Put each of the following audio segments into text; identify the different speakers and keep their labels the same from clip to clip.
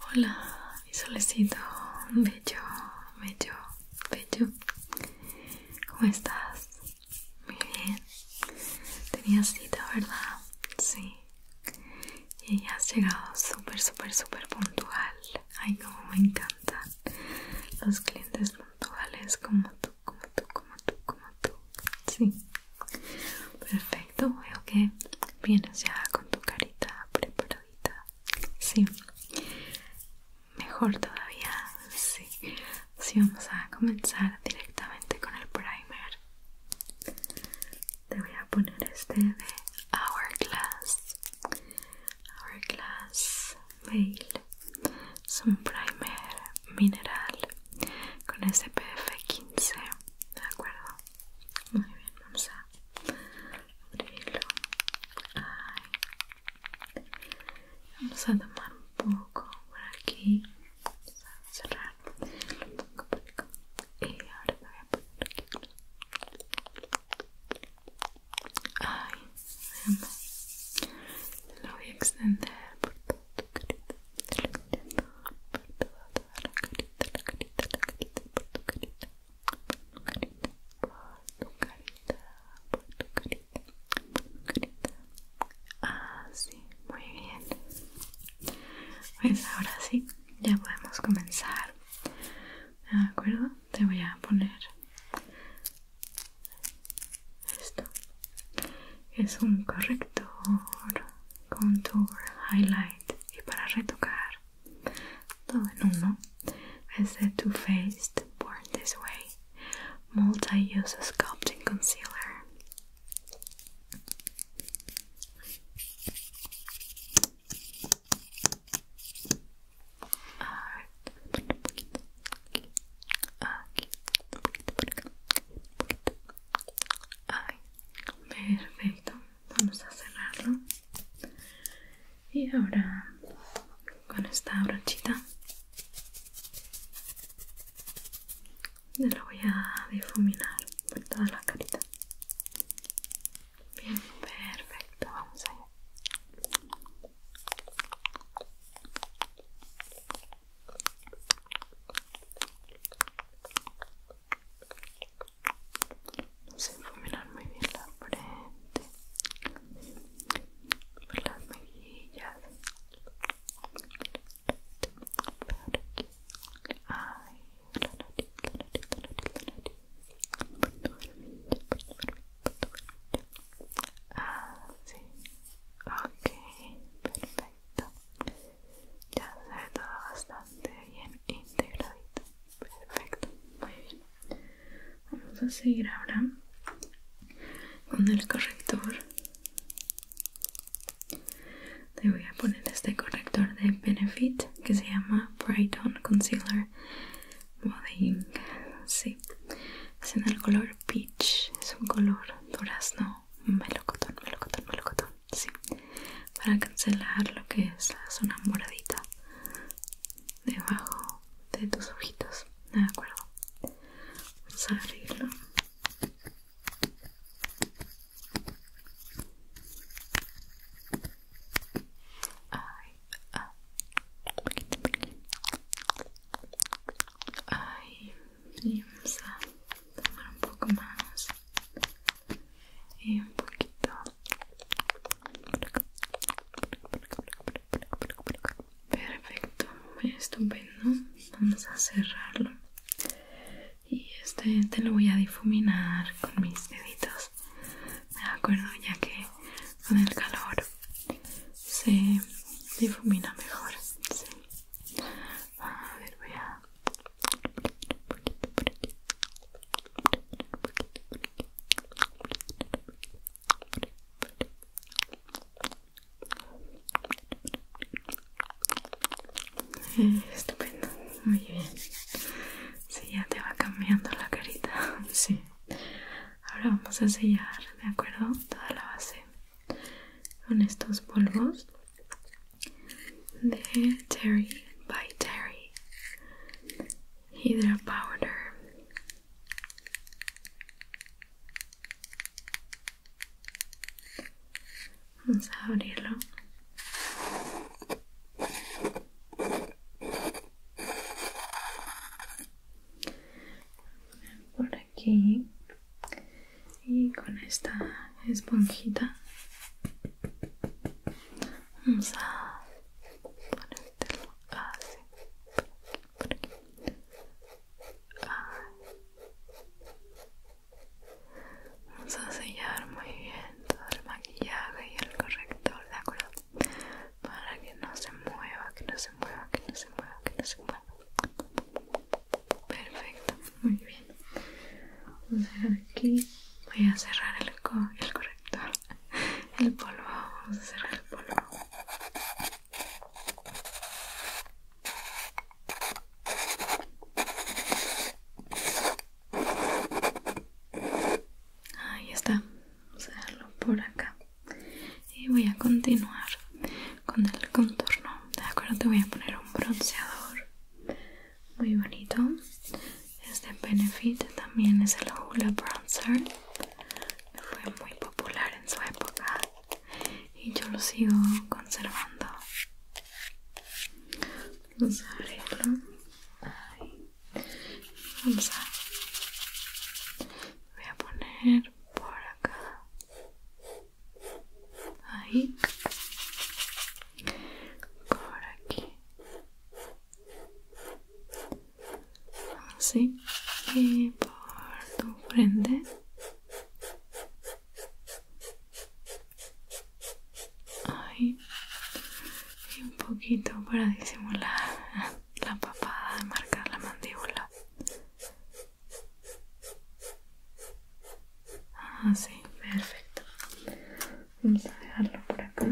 Speaker 1: Hola, mi solecito, bello, bello, bello. ¿Cómo estás? Muy bien. Tenías cita, ¿verdad? Sí. Y has llegado súper, súper, súper puntual. Ay, cómo me encantan los clientes puntuales como tú como tú, como tú, como tú. Sí. Perfecto. Veo que vienes ya con tu carita preparadita. Sí. Mejor todavía. Sí. Sí, vamos a comenzar directamente con el primer. Te voy a poner este de Hourglass. Hourglass Veil es un primer mineral con SPF 15 de acuerdo muy bien vamos a abrirlo vamos a tomar un poco por aquí vamos a cerrar un poco por y ahora te voy a poner aquí Ay, te lo voy a extender por todo tu carita, la carita, carita, carita, por tu carita, por tu carita, por tu carita, por tu carita, por tu carita. Ah, sí, muy bien. Pues ahora sí, ya podemos comenzar. ¿De acuerdo? Te voy a poner esto es un corrector contour highlight y para retocar todo en uno es de Too Faced Born This Way Multi-Use Sculpting Concealer poquito aquí, perfecto. Vamos a cerrarlo. Y ahora con esta brochita lo voy a difuminar por toda la carita. Bien, perfecto. Vamos allá no se fumar muy bien la frente las mejillas ya se ve todo bastante bien integradito perfecto muy bien vamos a seguir ahora con el corrector te voy a poner este corrector de Benefit que se llama Brighton Concealer Modeling sí es en el color peach es un color durazno melocotón, melocotón, melocotón, sí, para cancelar lo que es una zona moradita debajo de tus ojitos, de acuerdo. Vamos a abrirlo. Ay, ah. Ay, y vamos a tomar un poco más y un poquito perfecto estupendo vamos a cerrarlo y este te lo voy a difuminar con mis deditos de acuerdo ya que con el calor se difumina mejor sí. A ver, voy a... Estupendo, muy bien. Sí, ya te va cambiando la carita. Sí. Ahora vamos a sellar, ¿de acuerdo? Toda la base con estos polvos de Terry by Terry Hydra Powder. Vamos a abrirlo aquí y con esta esponjita vamos a ponértelo así por aquí, por aquí. Vamos a sellar muy bien todo el maquillaje y el corrector, ¿de acuerdo? Para que no se mueva, que no se mueva, que no se mueva, que no se mueva. Perfecto, muy bien. Vamos a ver aquí. Voy a cerrar el, el corrector. El polvo. Vamos a cerrar el polvo. Ahí está. Vamos a dejarlo por acá. Y voy a continuar con el contorno de acuerdo te voy a poner un bronceador muy bonito este benefit también es el hula bronzer fue muy popular en su época y yo lo sigo conservando vamos a abrirlo vamos a voy a poner por acá Ahí. Por aquí. Así. Y por tu frente. Ahí. Y un poquito para disimular la papada, marcar la mandíbula. Ah, sí, perfecto. Vamos a dejarlo por acá.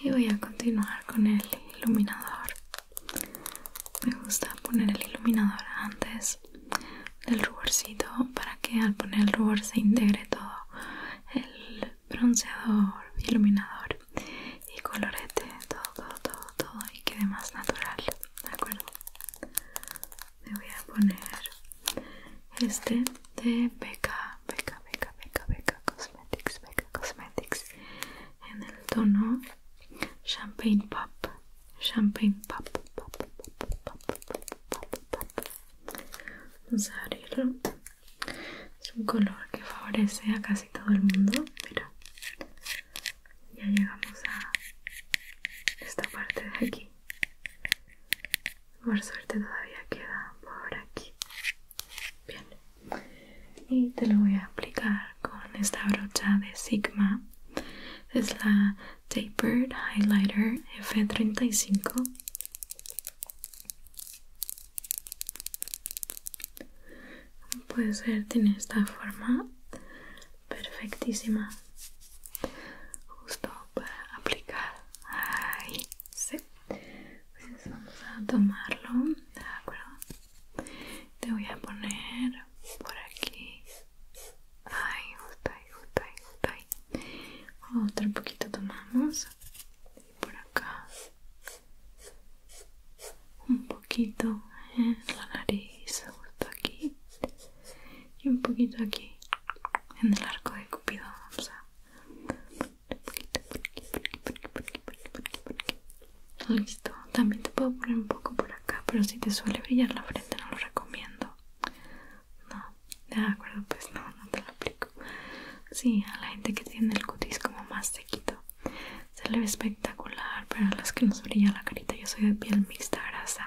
Speaker 1: Y voy a continuar con el iluminador. Me gusta poner el iluminador antes del ruborcito para que al poner el rubor se integre todo el bronceador, iluminador y colorete, todo, todo, todo, todo y quede más natural. ¿De acuerdo? me voy a poner este de beca, beca, beca, beca, Cosmetics, beca Cosmetics en el tono Champagne Pop, Champagne Pop, pop, pop, pop, pop, pop, pop. Vamos a abrirlo. Es un color que favorece a casi todo el mundo. Mira, ya llegamos a esta parte de aquí por suerte todavía queda por aquí bien y te lo voy a aplicar con esta brocha de Sigma es la Tapered Highlighter F35 puede ser, tiene esta forma perfectísima justo para aplicar ahí sí pues vamos a tomarlo de acuerdo te voy a poner por aquí ay justo ahí justo ahí justo ahí otro poquito tomamos y por acá un poco poquito en la nariz, justo aquí y un poquito aquí en el arco de cupido o sea un poquito listo también te puedo poner un poco por acá pero si te suele brillar la frente no lo recomiendo no de acuerdo pues no no te lo aplico sí a la gente que tiene el cutis como más sequito se le ve espectacular pero a las que nos brilla la carita yo soy de piel mixta grasa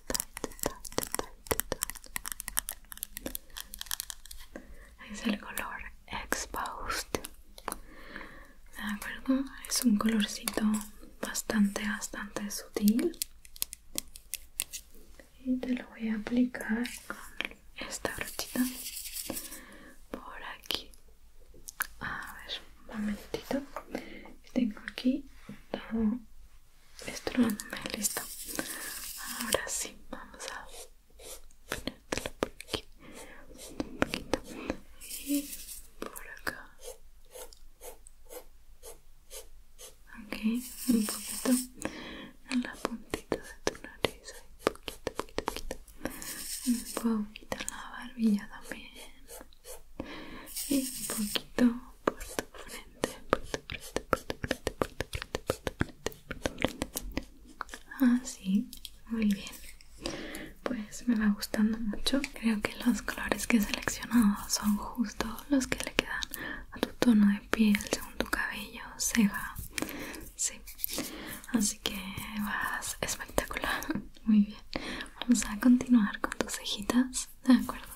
Speaker 1: es el color exposed de acuerdo es un colorcito bastante bastante sutil y te lo voy a aplicar con esta brochita por aquí a ver un momentito tengo aquí todo esto listo. Ahora sí, vamos a ponértelo por aquí un poquito y por acá. Ok, un poquito en la puntita de tu nariz, un poquito, poquito, poquito. Un poquito en la barbilla también. Y un poquito por frente, Así, muy bien. Pues me va gustando mucho. Creo que los colores que he seleccionado son justo los que le quedan a tu tono de piel, según tu cabello, ceja. Sí, así que vas espectacular. Muy bien. Vamos a continuar con tus cejitas, ¿de acuerdo?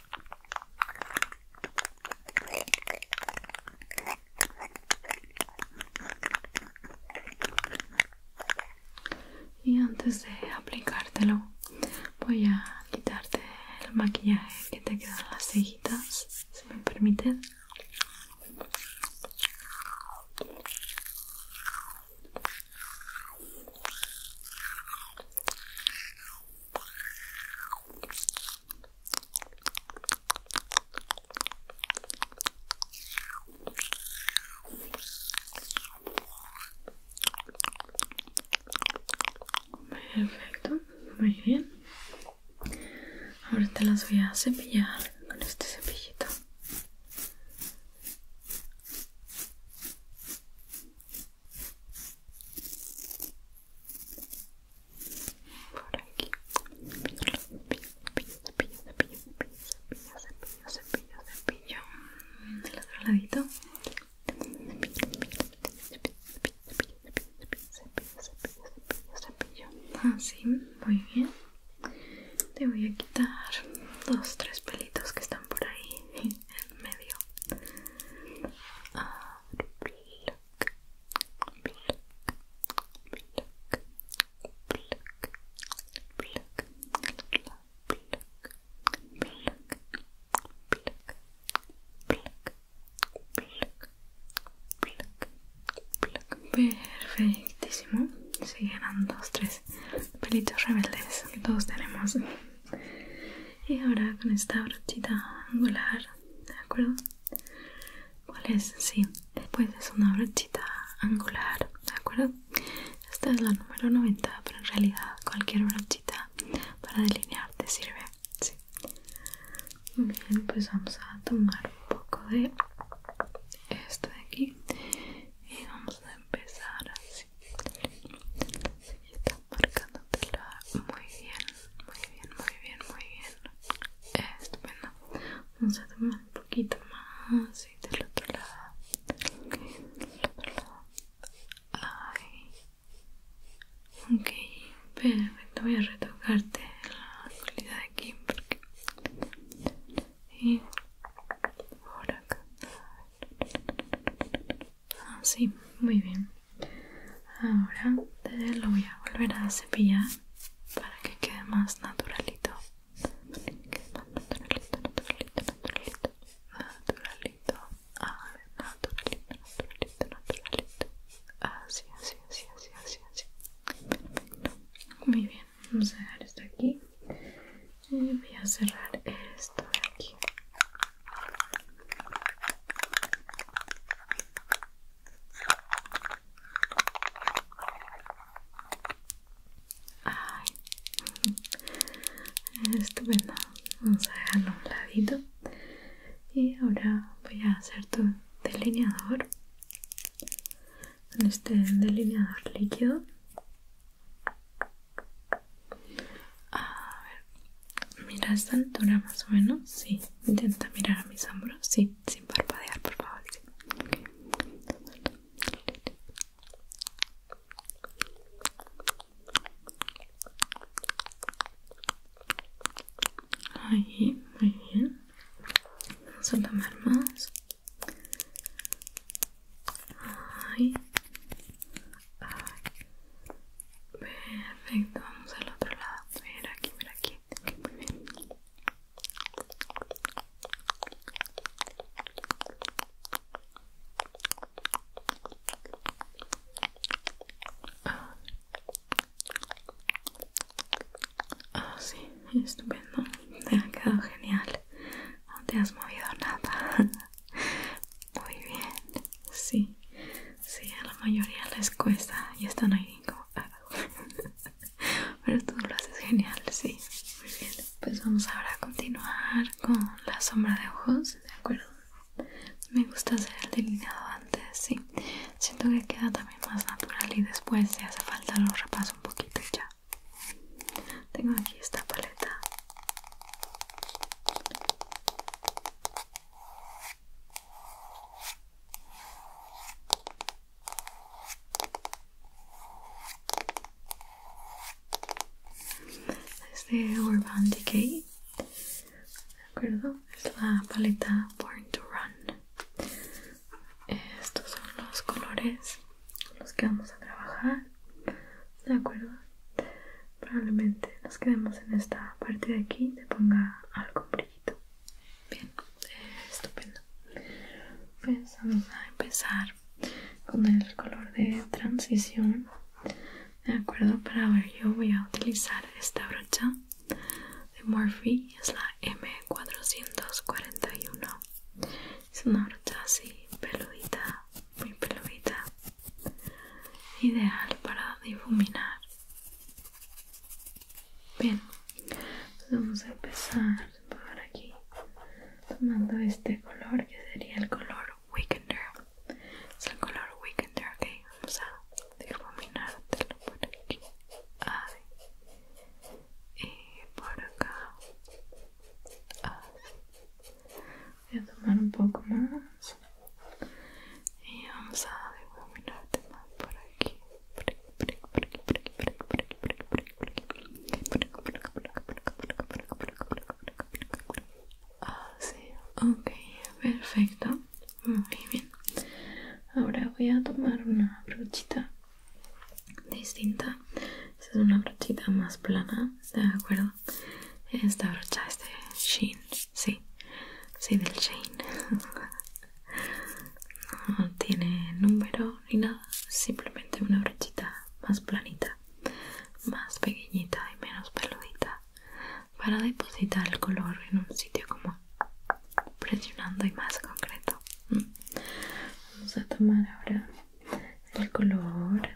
Speaker 1: Y antes de aplicártelo, voy a quitarte el maquillaje que te quedan las cejitas, si me permiten Perfecto, muy bien. Ahora te las voy a cepillar con este cepillito. Por aquí. Cepillo, cepillo, cepillo, cepillo, cepillo, cepillo, cepillo. cepillo cepillo cepillo Así, muy bien. Te voy a quitar dos, tres pelitos que están por ahí en medio. Perfectísimo. Se llenan tres pelitos rebeldes que todos tenemos y ahora con esta brochita angular de acuerdo cuál es sí pues es una brochita angular de acuerdo esta es la número 90 pero en realidad cualquier brochita para delinear te sirve sí muy bien pues vamos a tomar un poco de esto de aquí y vamos a empezar así está y está muy bien muy bien muy bien muy bien estupendo vamos a tomar un poquito más y del otro lado del otro lado Ay. ok perfecto voy a retocarte la calidad de aquí porque y por acá Así, ah, muy bien. Ahora lo voy a volver a cepillar para que quede más naturalito. Naturalito, naturalito, naturalito. Naturalito. Ah, naturalito, naturalito, naturalito. Así, así, así, así, así, así. Perfecto. Muy bien. Vamos a dejar esto aquí. Y voy a cerrar esto de aquí. Ay, estupendo. Vamos a dejarlo a un ladito. Y ahora voy a hacer tu delineador. Con este delineador líquido. A ver, mira esta altura más o menos, sí. Intenta mirar a mis hombros, sí, sin parpadear, por favor. Sí. Ahí, muy bien. Vamos a tomar más. Ahí. Perfecto, vamos al otro lado. Mira aquí, mira aquí. muy ah. bien. ah sí, estupendo. Te ha quedado genial. No te has movido nada. Muy bien, sí, sí, a la mayoría les cuesta y están ahí como... Ah, pero tú lo haces genial, sí, muy bien. Pues vamos ahora a continuar con la sombra de ojos, ¿de acuerdo? Me gusta hacer el delineado antes, sí. Siento que queda también más natural y después si hace falta lo repaso un poquito y ya. Tengo aquí esta paleta. Es de Urban Decay, ¿de acuerdo? Es la paleta Born to Run. Estos son los colores con los que vamos a trabajar, ¿de acuerdo? probablemente nos quedemos en esta parte de aquí te ponga algo brillito bien estupendo pues vamos a empezar con el color de transición de acuerdo para ver yo voy a utilizar esta brocha de Morphe es la M441 es una brocha así peludita muy peludita ideal para difuminar bien pues vamos a empezar por aquí tomando este color que sería el color weekender es el color weekender ok vamos a difuminártelo por aquí y por acá voy a tomar un poco más y vamos a difuminarte más por aquí por aquí por aquí Así, ok, perfecto, muy bien. Ahora voy a tomar una brochita distinta. Esta es una brochita más plana ¿de acuerdo? Esta brocha es de sí, sí, del Shein. No tiene número ni nada, simplemente una brochita más planita, más pequeñita y menos peludita para depositar el color en un sitio como presionando y más concreto. Mm. Vamos a tomar ahora el color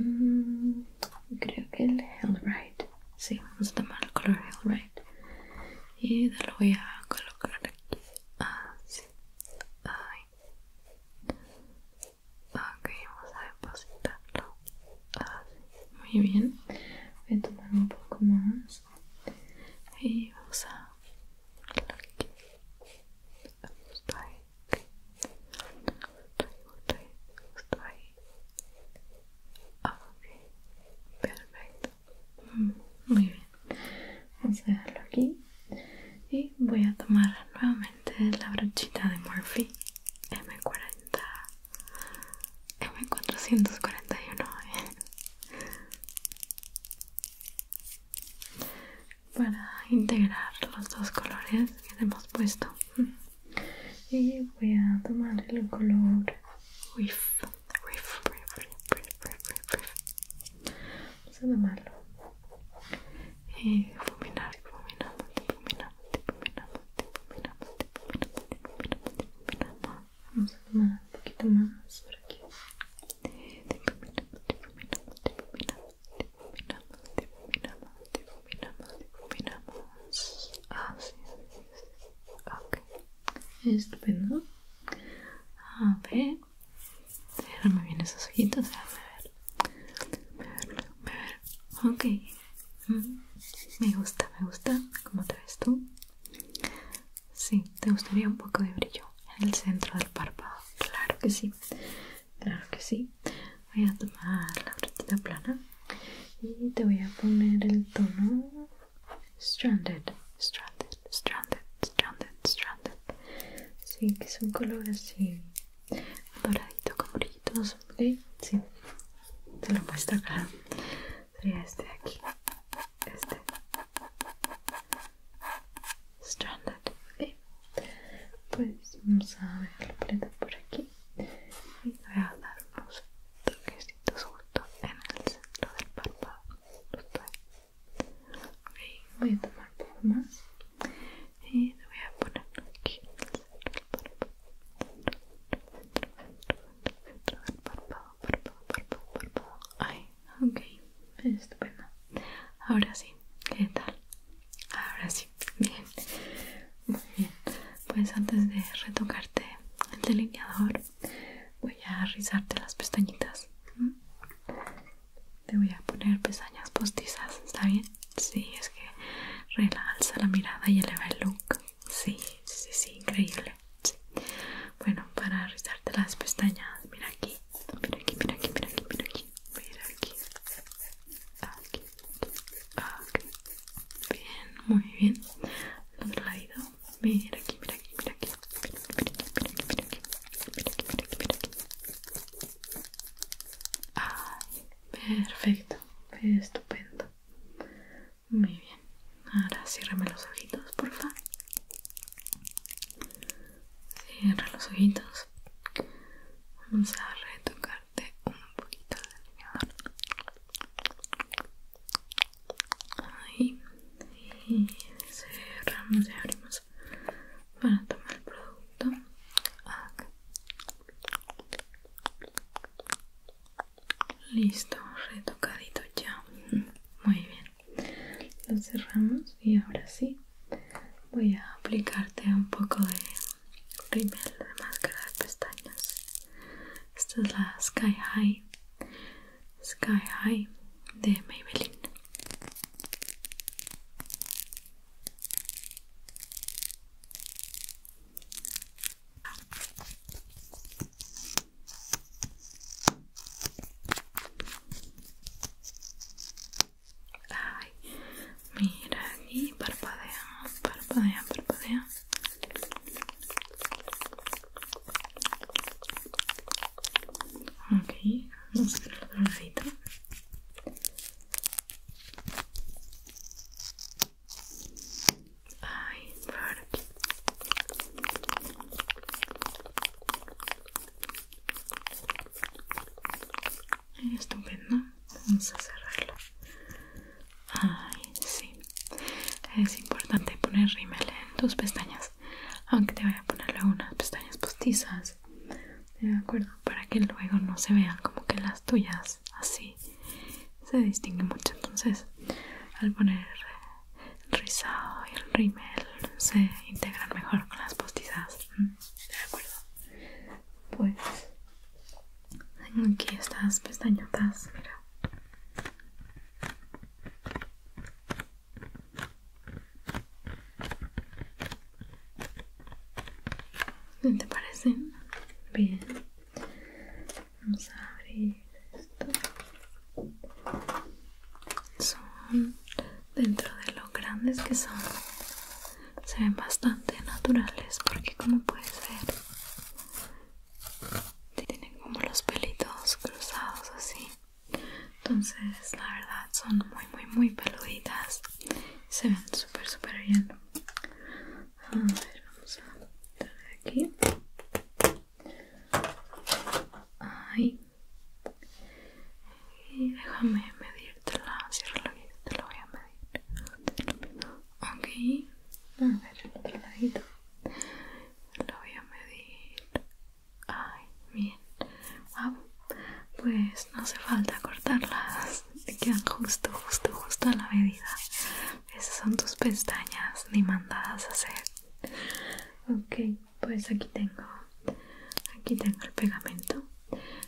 Speaker 1: Mm, creo que el right, Sí, vamos a tomar el color right Y lo voy a colocar aquí. Así. Ah, ahí. Ok, vamos a depositarlo. Así. Ah, Muy bien. Voy a tomar un poco más. Y vamos a. Aquí. Vamos perfecto. Muy bien, vamos a dejarlo aquí. Y voy a tomar nuevamente la brochita de Murphy M40 M441 para integrar los dos colores que le hemos puesto y voy a tomar el color wiff wiff Vamos a tomarlo y Vamos a tomar un poquito más por aquí difuminamos, difuminamos, difuminamos, difuminamos. Así ah, sí, Ok. Estupendo. A ver. Cérrame bien esos ojitos. Déjame ver. Déjame ver. Ok. Mm, me gusta, me gusta. ¿Cómo te ves tú? Sí, te gustaría un poco de brillo en el centro del párpado. Claro que sí. Claro que sí voy a tomar la frutita plana y te voy a poner el tono Stranded, Stranded, Stranded, Stranded, Stranded. Sí, que son un color así doradito con brillitos, ¿ok? Sí, te lo muestro acá. Sería este de aquí, este. Stranded, Pues vamos a ver la prenda por aquí y voy a dar unos toquecitos justo en el centro del párpado justo ahí. ok, voy a tomar por más y te voy a poner aquí en el centro del párpado centro, centro, centro del párpado párpado, párpado, párpado ahí, ok, estupendo ahora sí, ¿qué tal? Ahora sí, bien. Muy bien. Pues antes de retocarte el delineador, voy a rizarte las pestañitas. Te voy a poner pestañas postizas, ¿está bien? Sí, es que realza la mirada y eleva el look. Sí, sí, sí, increíble. Bueno, para rizarte las pestañas, mira aquí, mira aquí, mira aquí, mira aquí, mira aquí, mira aquí. Aquí. Bien, muy bien. otro lado. Mira aquí, mira aquí, mira aquí. Mira aquí, Ay, perfecto. Estupendo. Muy bien. Ahora ciérrame los ojitos, porfa Cierra los ojitos. Vamos a retocar de un poquito de delineador ahí y cerramos y abrimos para tomar el producto listo retocadito ya muy bien lo cerramos y ahora sí voy a aplicarte un poco de rímel de máscara de pestañas esta es la Sky High. Sky High de Maybelline. Mira aquí, parpadea, parpadea, parpadea. Ok, vamos a hacer el lado, Ay, por aquí. Estupendo. Vamos a cerrarlo Ay, sí. Es importante poner rímel en tus pestañas. Aunque te voy a ponerle unas pestañas postizas. De acuerdo, para que luego no se vean como que las tuyas así se distingue mucho. Entonces, al poner el rizado y el rímel se integran mejor con las postizas. ¿De acuerdo? Pues tengo aquí estas pestañotas, mira. ¿Qué te parecen? Bien. Vamos a abrir esto. Son dentro de lo grandes que son. Se ven bastante naturales porque como puedes ver tienen como los pelitos cruzados así entonces la verdad son muy muy muy peluditas se ven súper súper bien a ver vamos a traer aquí ahí y déjame medírtela, si te lo voy a medir Ok, a ver el Lo voy a medir. Ay, bien. Ah, pues no hace falta cortarlas. quedan justo, justo, justo a la medida. Esas son tus pestañas ni mandadas a hacer. Ok, pues aquí tengo. Aquí tengo el pegamento.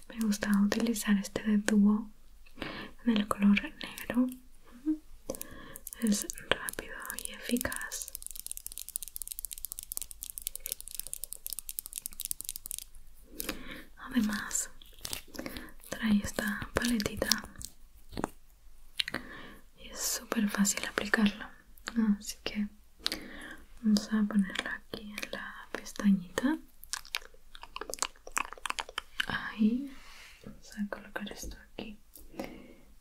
Speaker 1: Me gusta utilizar este de tubo en el color negro es rápido y eficaz además trae esta paletita y es súper fácil aplicarla así que vamos a ponerla aquí en la pestañita Ahí vamos a colocar esto aquí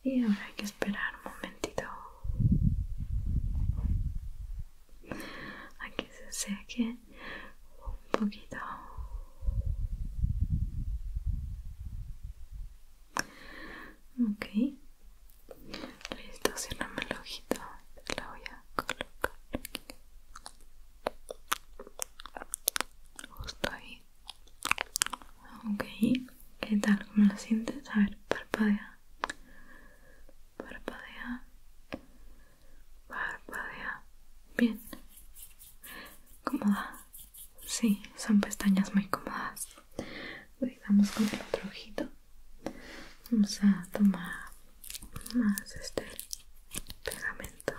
Speaker 1: y ahora hay que esperar un momentito a que se seque un poquito ok listo cierrame el ojito la voy a colocar aquí justo ahí ok ¿qué tal? ¿cómo la sientes? a ver parpadea parpadea parpadea bien cómoda sí son pestañas muy cómodas vamos con el otro ojito vamos a tomar más este pegamento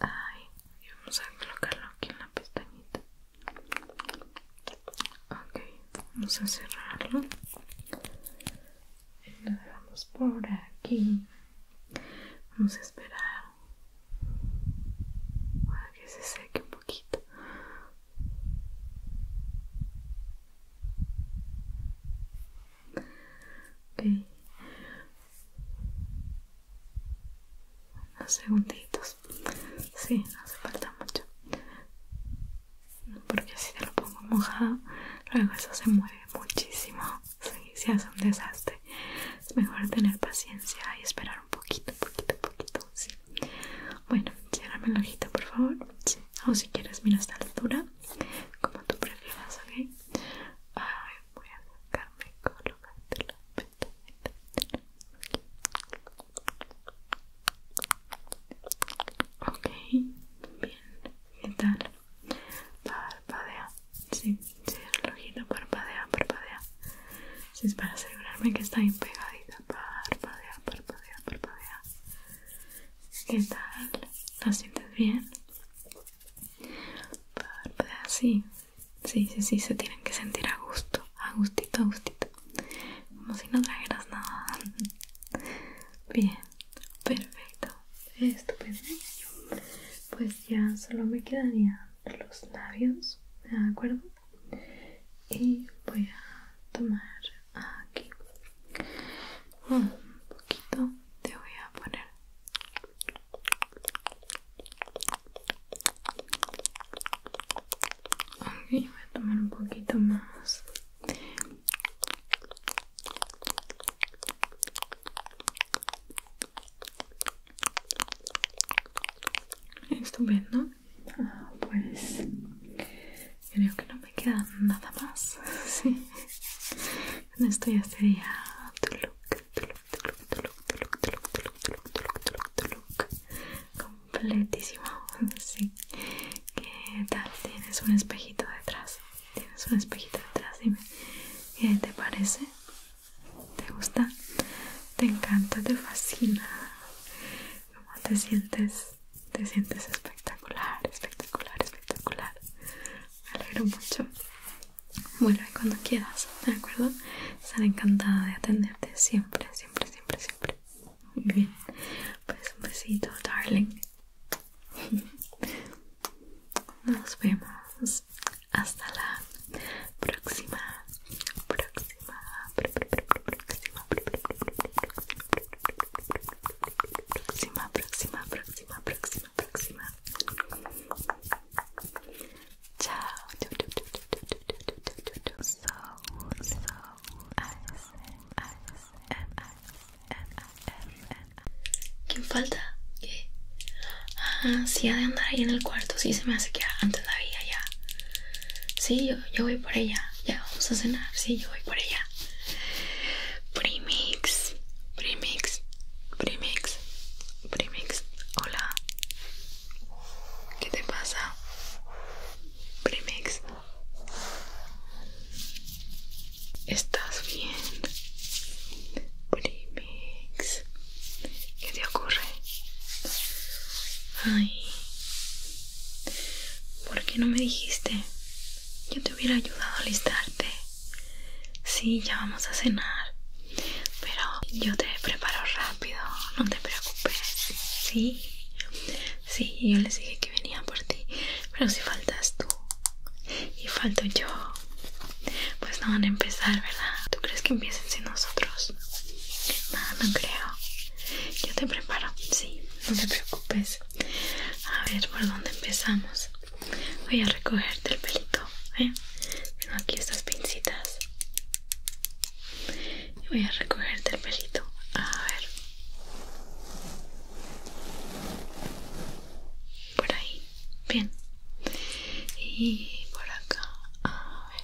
Speaker 1: Ay, y vamos a colocarlo aquí en la pestañita. Ok, vamos a cerrarlo. Lo dejamos por aquí. Vamos a esperar para que se seque un poquito. Unos segunditos. Sí, no hace falta mucho. Porque si te lo pongo mojado, luego eso se mueve muchísimo. Sí, se hace un desastre. Es mejor tener paciencia y esperar un poquito, poquito, poquito. Sí. Bueno, ciérrame el ojito, por favor. O si quieres, mira esta altura. Como tú prefieras, ¿ok? voy a acercarme y colocarte la Ok, bien, ¿qué tal? Parpadea, sí, sí, el ojito parpadea, parpadea. si es para asegurarme que está bien pegadita. Parpadea, parpadea, parpadea. ¿Qué tal? ¿Lo sientes bien? pues así, sí, sí, sí, se tienen que sentir a gusto, a gustito, a gustito. Como si no trajeras nada. Bien, perfecto. Estupendo. Pues, ¿eh? pues ya solo me quedarían los labios, ¿de acuerdo? Y voy a tomar aquí un poquito. Te voy a poner voy a tomar un poquito más. Estupendo. Ah, pues creo que no me queda nada más. Sí. esto ya sería tu look completísimo sí qué tal tienes un espejito detrás tienes un espejito detrás dime qué te parece te gusta te encanta te fascina cómo te sientes te sientes espectacular espectacular espectacular me alegro mucho vuelve cuando quieras, ¿de acuerdo? Estaré encantada de atenderte siempre, siempre, siempre, siempre. Muy bien, pues un besito, darling. Nos vemos. Hasta la próxima, próxima, próxima, próxima, próxima, próxima, próxima. próxima próxima. Chao. ¿Quién falta? ¿Qué? Ah, sí, ha de andar ahí en el cuarto. Sí, se me hace que antes la ya. Sí, yo, yo voy por ella. Ya vamos a cenar. Sí, yo voy por ella. premix, premix, premix Primix, hola. ¿Qué te pasa? Primix. ¿Estás bien? Primix. ¿Qué te ocurre? Ay. ¿Por qué no me dijiste? Yo te hubiera ayudado a alistarte. Sí, ya vamos a cenar. Pero yo te preparo rápido, no te preocupes. Sí, sí, yo les dije que venía por ti. Pero si faltas tú y falto yo, pues no van a empezar, ¿verdad? ¿Tú crees que empiecen sin nosotros? No, no creo. Yo te preparo, sí, no te preocupes. A ver, ¿por dónde empezamos? voy a recogerte el pelito ¿eh? tengo aquí estas pincitas voy a recogerte el pelito a ver por ahí bien y por acá a ver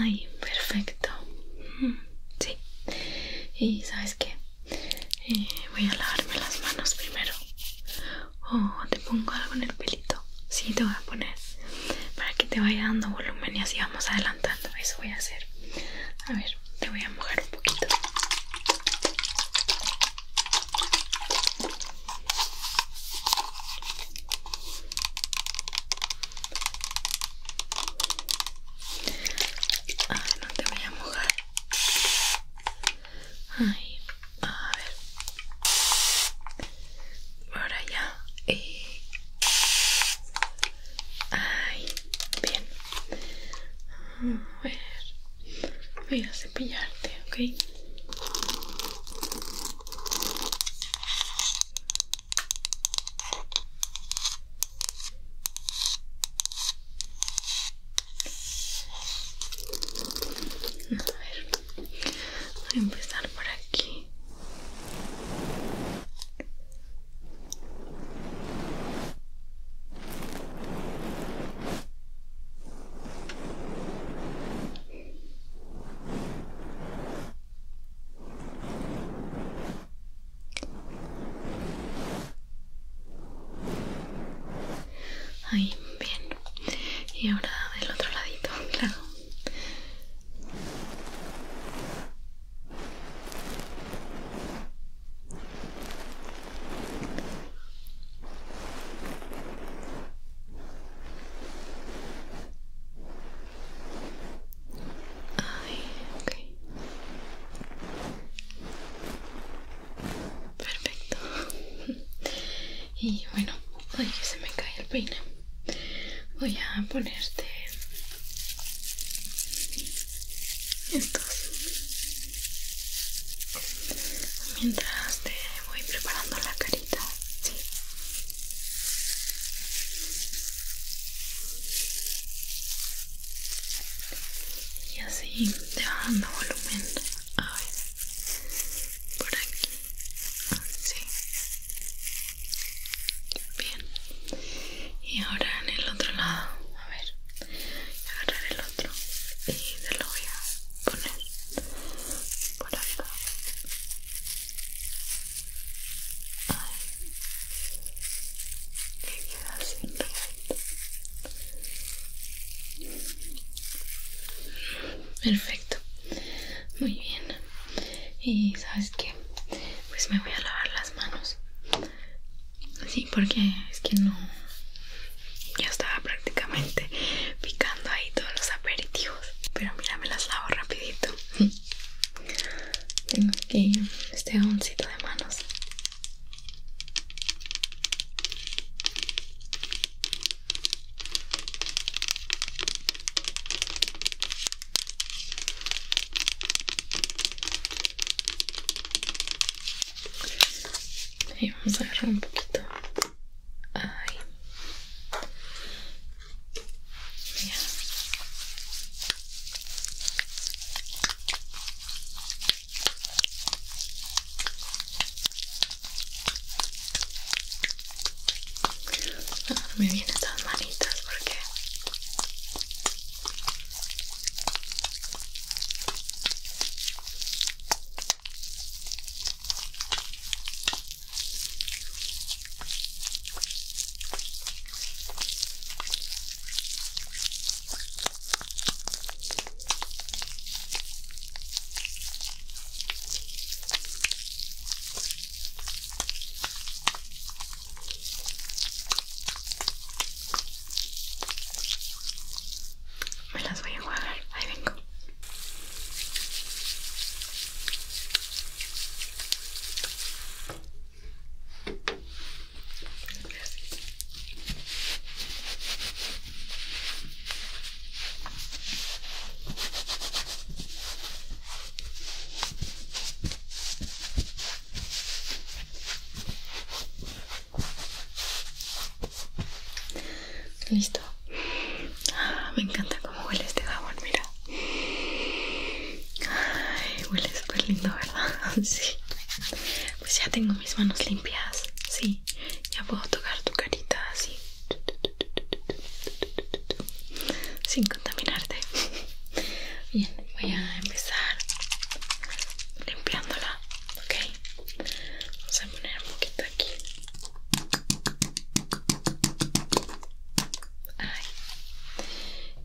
Speaker 1: Ay, perfecto. Mm sí. Y sabes qué? Eh, voy a lavarme las manos primero. O te pongo algo en el pelito. Sí, te voy a poner para que te vaya dando volumen y así vamos adelantando. Eso voy a hacer. A ver, te voy a mojar un poquito. Ah, no te voy a mojar. Ay, a ver. Por ya. Y... Eh. Ay, bien. A ver. Voy a cepillarte, ¿ok? A ver, voy a empezar por aquí. Ahí, bien. Y ahora del otro ladito, claro. Perfecto. Y bueno, ay que se me cae el peine. Voy a ponerte estos mientras te voy preparando la carita, y así te va dando volumen a ver por aquí sí bien y ahora en el otro lado a ver agarrar el otro y te lo voy a poner por acá Ahí. Perfecto. Muy bien. Y sabes qué? Pues me voy a lavar las manos. Sí, porque es que no... Ya estaba prácticamente picando ahí todos los aperitivos. Pero mira, me las lavo rapidito tengo aquí este jaboncito de manos y vamos a agarrar un poquito ahí Ah, me vienen estas manitas porque me las voy a guardar, ahí vengo. Listo. Ah, me encanta cómo huele este jabón, mira. Ay, huele super lindo, ¿verdad? Sí. Pues ya tengo mis manos limpias, sí. Ya puedo tocar tu carita así. Sin contaminarte. Bien, voy a empezar limpiándola, ¿ok? Vamos a poner un poquito aquí. Ay.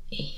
Speaker 1: Y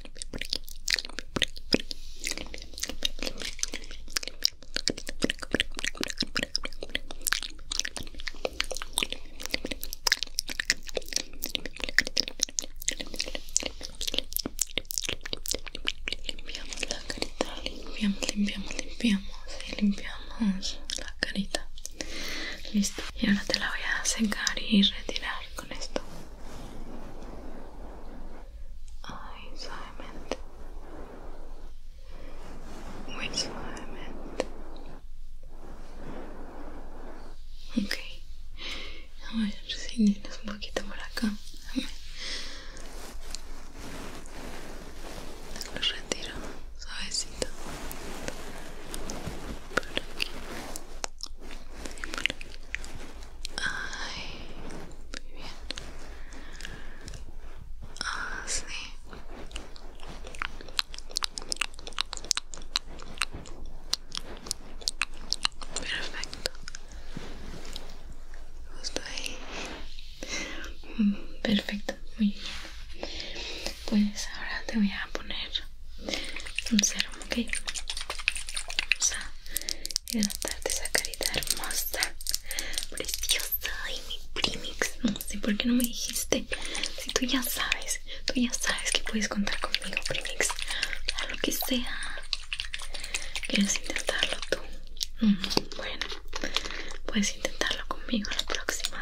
Speaker 1: Limpiamos la carita, limpiamos, limpiamos, limpiamos limpiamos la carita. Listo. Y ahora te la voy a secar y retirar con esto. Ay, suavemente. Muy suavemente. Ok. A ver si tienes un poquito por acá. A ver. Lo retiro suavecito. Por aquí. Ay, muy bien. Así. Perfecto. Justo mm, ahí. Perfecto, muy bien. Pues ahora te voy a poner un serum, ok vamos a hidratarte esa carita hermosa preciosa y mi primix no sé por qué no me dijiste si tú ya sabes tú ya sabes que puedes contar conmigo primix lo que sea quieres intentarlo tú mm, bueno puedes intentarlo conmigo la próxima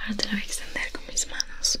Speaker 1: Ahora te lo voy a extender con mis manos.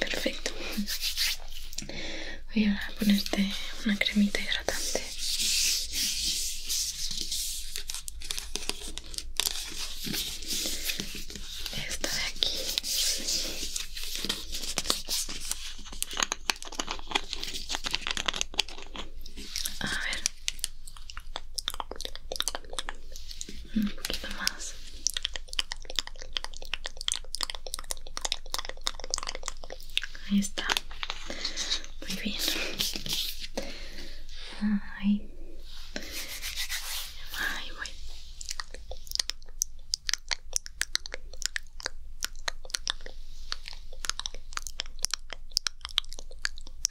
Speaker 1: Perfecto. Voy a ponerte una cremita hidratante. Esta de aquí. A ver un poquito más ahí está muy bien ay ahí Ok.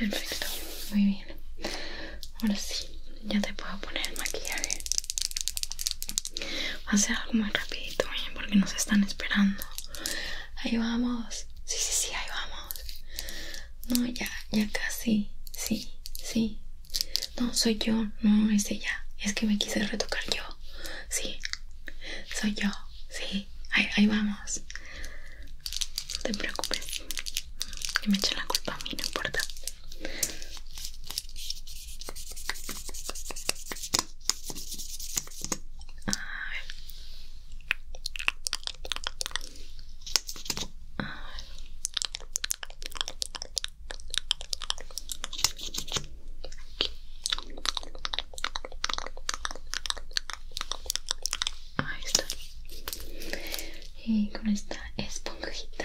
Speaker 1: Perfecto, muy bien. Ahora sí, ya te puedo poner el maquillaje. Va a ser algo muy rapidito, ¿eh? porque nos están esperando. Ahí vamos. Sí, sí, sí, ahí vamos. No, ya, ya casi. Sí, sí. No, soy yo. No, es este ella. Es que me quise retocar yo. Sí. Soy yo. Sí. Ahí, ahí vamos. No te preocupes. Que me echen la culpa a mí, no importa. Ay. Ay. Ahí está. Y con esta esponjita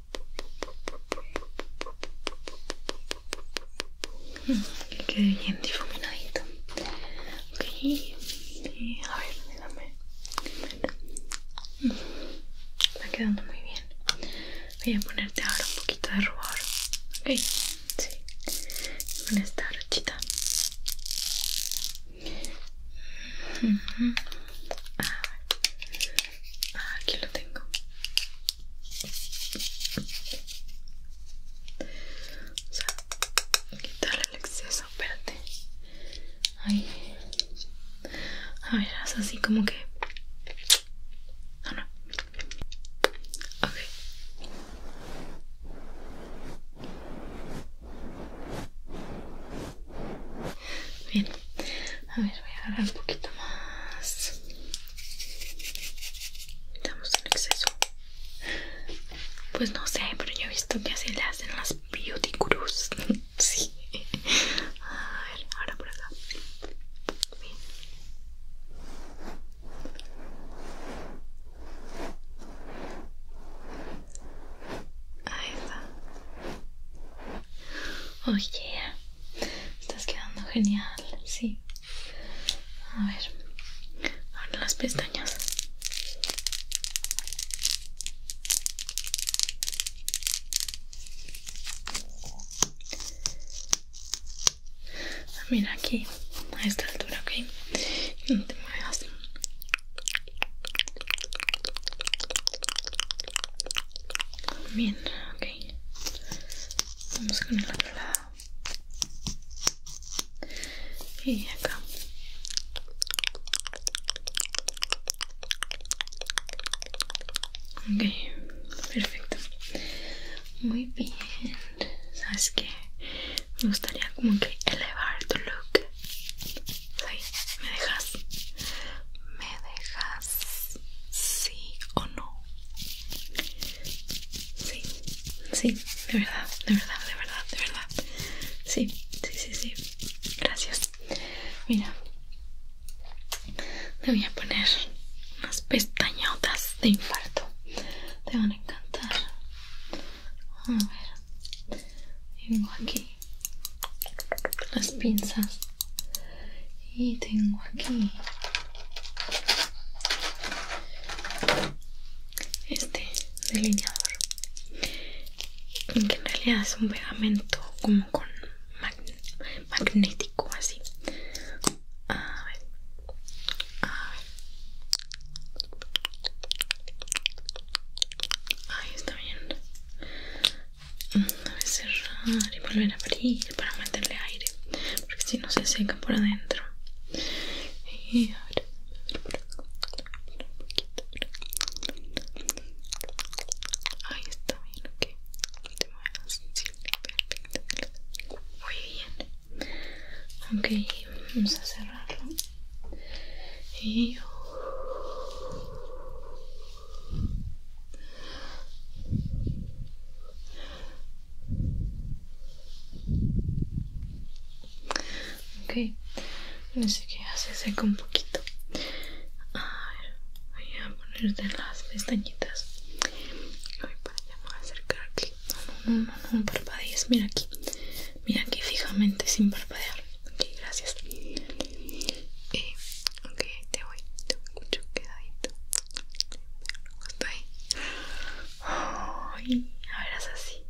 Speaker 1: Que quede bien difuminadito. Ok, a ver, déjame. Está quedando muy bien. Voy a ponerte ahora un poquito de rubor. Ok, sí. Con esta brochita. Ah, aquí lo tengo. O quitarle el exceso, espérate. Ay. A ver, haz así como que. No, Okay. Bien, a ver, voy a agarrar un poquito más. Estamos en exceso. Pues no sé, pero yo he visto que así le hacen las beauty gurus. sí. A ver, ahora por acá. Bien. Ahí está. Oye. Oh, yeah. Estás quedando genial, sí. A ver, ahora las pestañas. Ah, mira aquí, a esta altura, ¿ok? No te muevas. Bien, ok. Vamos con el otro lado. Y acá. Ok, perfecto. Muy bien. ¿Sabes que, Me gustaría como que elevar tu look. ¿Me dejas? ¿Me dejas? ¿Sí o no? Sí, sí, de verdad, de verdad, de verdad, de verdad. Sí, sí, sí, sí. Gracias. Mira, te voy a poner unas pestañotas de infarto. Te van a encantar. A ver, tengo aquí las pinzas y tengo aquí este delineador que en realidad es un pegamento como con magnético así Ahí está bien a cerrar y volver a abrir para meterle aire porque si no se seca por adentro y ahora ahí está bien ok te muevas sí, perfecto muy bien ok vamos a cerrarlo y Ok, no sé qué hace, seca un poquito. A ver, voy a ponerte las pestañitas. Voy para allá, voy a acercar aquí. No, no, no, no, no parpadees. Mira aquí, mira aquí fijamente sin parpadear. Ok, gracias. Eh, Ok, ahí te voy, te mucho quedadito. Justo ahí. Ay, ahora es así.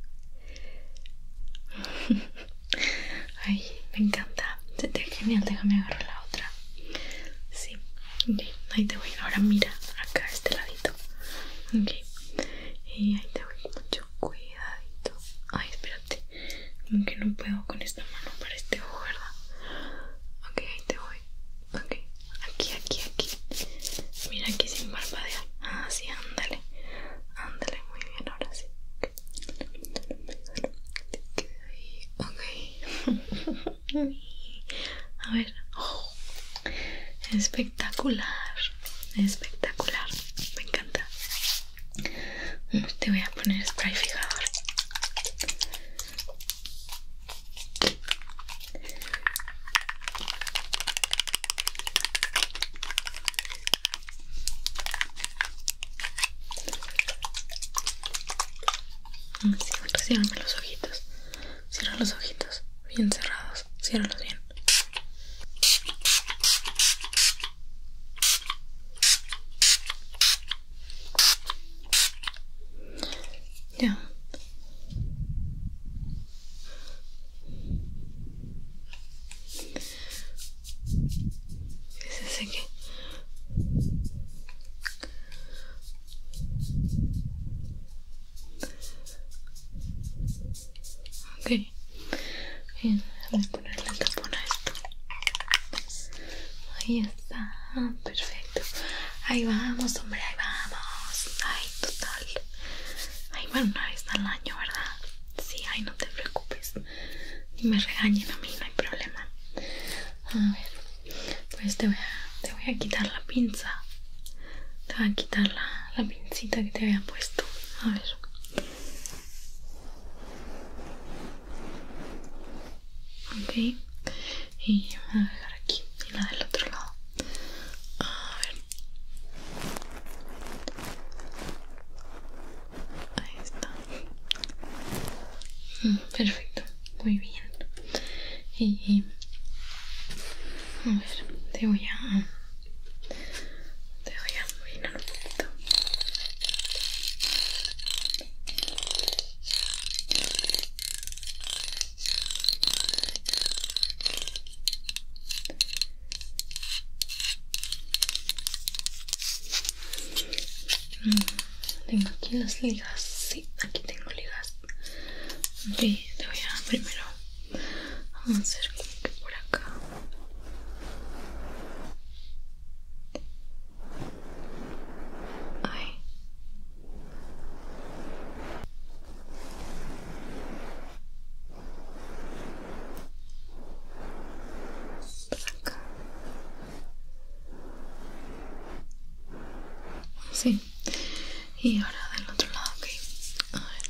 Speaker 1: Ay, me encanta. Se genial, déjame agarrar la otra. Sí, ok, ahí te voy. Ahora mira, acá este ladito. Ok, y ahí te voy. Mucho cuidadito. Ay, espérate. Como que no puedo con esta mano para este ojo, ¿verdad? Ok, ahí te voy. Ok, aquí, aquí, aquí. Mira aquí sin parpadear. Ah, sí, ándale. Ándale, muy bien, ahora sí. Ok. A ver. Espectacular. Espectacular. Me encanta. Te voy a poner spray fijador. Cierrame los ojitos. Cierra los ojitos. Bien cerrados. Ciérralos bien. Ya. Fíjense aquí. Ok, bien, voy a ponerle el tapón a esto. Ahí Ah, perfecto. Ahí vamos, hombre, ahí vamos. Ay, total. Ay, bueno, una vez al año, ¿verdad? Sí, ay, no te preocupes. Ni me regañen a mí, no hay problema. A ver, pues te voy a, te voy a quitar la pinza. Te voy a quitar la, la que te había puesto. A ver. Ok y voy a dejar aquí y la del otro lado a ver ahí está mm, perfecto muy bien y a ver te voy a te voy a mover un poquito Mm, tengo aquí las ligas, sí, aquí tengo ligas. Ok, te voy a primero. Vamos a hacer por acá. Ay. Sí. Y ahora del otro lado, ok. A ver.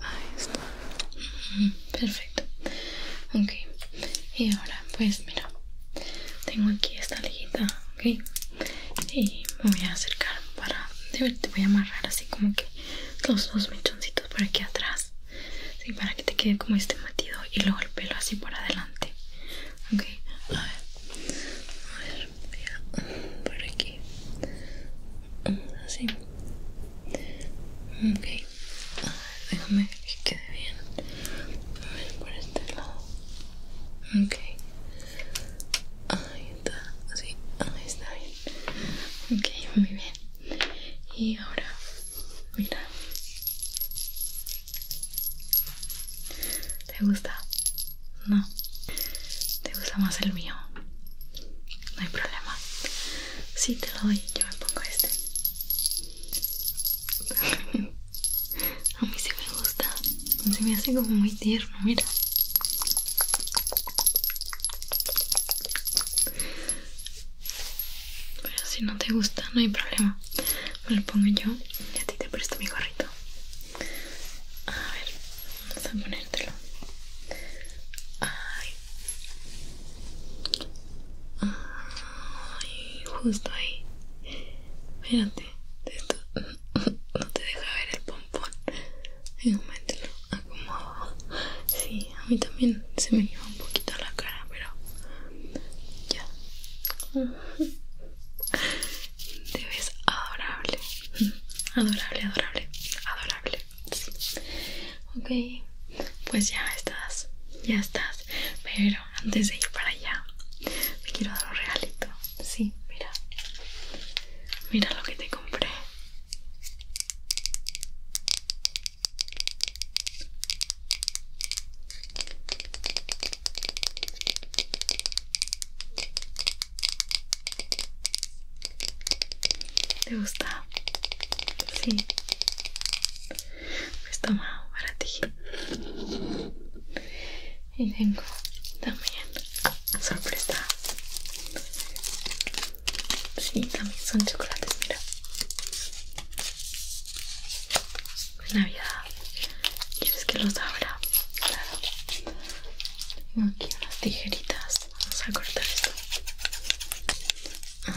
Speaker 1: Ahí está. Perfecto. Ok. Y ahora, pues mira, tengo aquí esta liguita, ok. Y me voy a acercar para. ver, te voy a amarrar así como que los dos mechoncitos por aquí atrás. para que te quede como este matido y luego el pelo así por adelante. Ok. A ver. A ver, Por aquí. Así. Ok. A ver, déjame que quede bien. A ver, por este lado. Ok. Ahí está. Así. Ahí está bien. Ok, muy bien. Y ahora, mira. ¿Te gusta? No. ¿Te gusta más el mío? no hay problema. Si te lo doy, yo me pongo este. A mí sí me gusta. Se me hace como muy tierno, mira. Pero si no te gusta, no hay problema. Me lo pongo yo y a ti te presto mi gorrito. A ver, vamos a ponértelo. Ay, Ay, justo ahí. espérate, no te deja ver el pompón. En un momento Sí, a mí también se me lleva un poquito la cara, pero ya. Te ves adorable. Adorable, adorable, adorable. Ok, pues ya estás, ya estás. Pero antes de ir para allá, te quiero dar un regalito. Sí, mira. Mira lo que te compré. ¿Te gusta? Sí. Pues toma para ti. Y tengo también sorpresa. Sí, también son chocolates, mira. Navidad. ¿Quieres que los abra? Claro. Tengo aquí unas tijeritas. Vamos a cortar esto. Listo.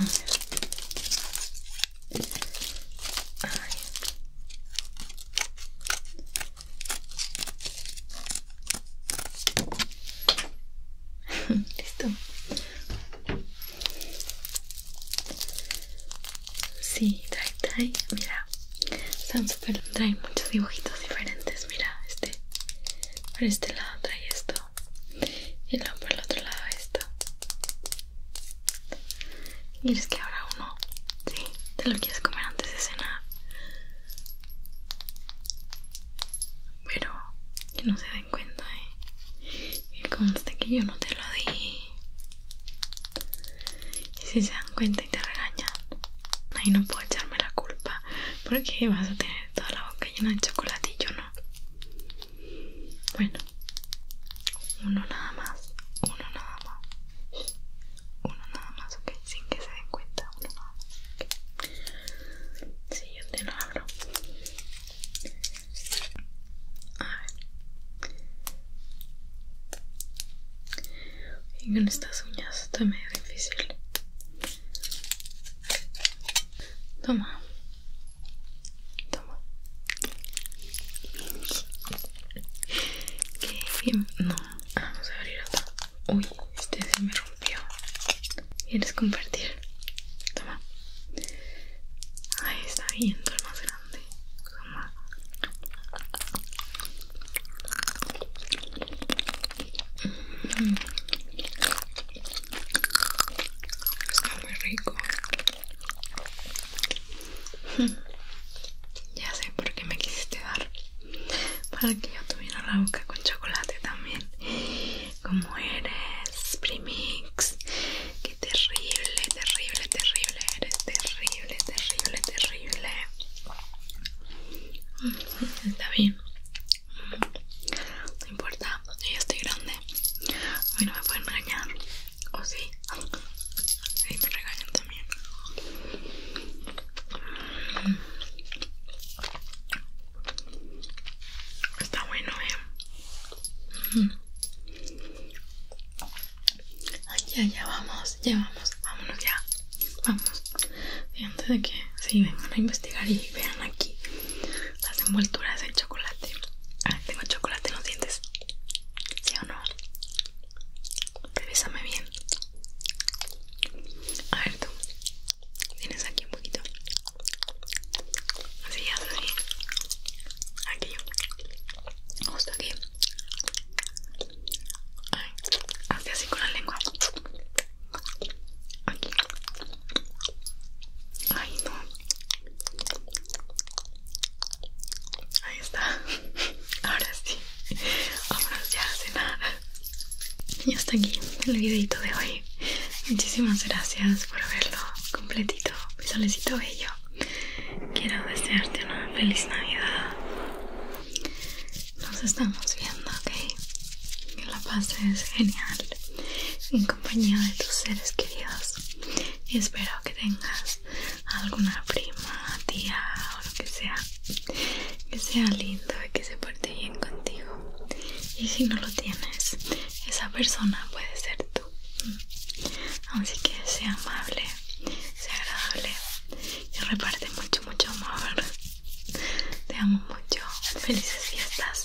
Speaker 1: Sí, trae, trae. Mira, son súper. Trae muchos dibujitos diferentes. Mira, este. Por este lado trae esto y luego por el otro lado esto y es que ahora uno si ¿Sí? te lo quieres comer antes de cenar pero que no se den cuenta ¿eh? que conste que yo no te lo di y si se dan cuenta y te regañan ahí no puedo echarme la culpa porque vas a tener toda la boca llena de chocolate y yo no bueno, uno nada más, uno nada más, uno nada más, ok, sin que se den cuenta, uno nada más. yo te lo abro. A ver. con estas uñas está medio difícil. Toma, Toma. Que no, vamos a abrir otra Uy, este se me rompió. ¿Quieres compartir? Toma. Ahí está viendo el más grande. Toma. Está muy rico. Ya sé por qué me quisiste dar. Para que yo tuviera la boca con chocolate también. Como eres, Primix. Qué terrible, terrible, terrible. Eres terrible, terrible, terrible. Está bien. No importa, yo ya estoy grande. A no me pueden regañar. ¿O si? sí? me regañan también. Está bueno, eh. Ay, ya, ya vamos, ya vamos, vámonos ya. Vamos. antes de que sí vengan a investigar y vean aquí las envolturas de chocolate. Ah, tengo chocolate en sientes? dientes. ¿Sí o no? revisame bien. A ver tú. Tienes aquí un poquito. Así ya Aquí. Justo aquí. Ay, hazte así con la lengua. Aquí. Ay, no. Ahí está. Ahora sí. ahora ya se cenar. Y hasta aquí el videito de hoy. Muchísimas gracias por verlo completito, mi solecito bello. Quiero desearte una feliz Navidad. Nos estamos viendo, ¿ok? Que la pases genial en compañía de tus seres queridos y espero que tengas alguna prima, tía o lo que sea que sea lindo y que se parte bien contigo y si no lo tienes esa persona puede ser tú así que sea amable sea agradable y reparte mucho mucho amor te amo mucho felices fiestas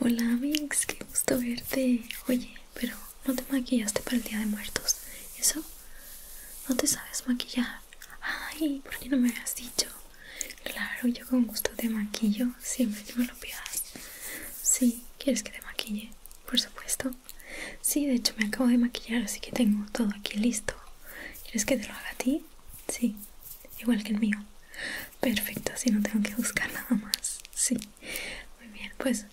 Speaker 1: Hola, Mix, qué gusto verte. Oye, pero no te maquillaste para el Día de Muertos. ¿Eso? ¿No te sabes maquillar? Ay, ¿por qué no me habías dicho? Claro, yo con gusto te maquillo, siempre me lo pidas. Sí, ¿quieres que te maquille? Por supuesto. Sí, de hecho me acabo de maquillar, así que tengo todo aquí listo. ¿Quieres que te lo haga a ti? Sí, igual que el mío. Perfecto, así no tengo que buscar nada más. Sí, muy bien, pues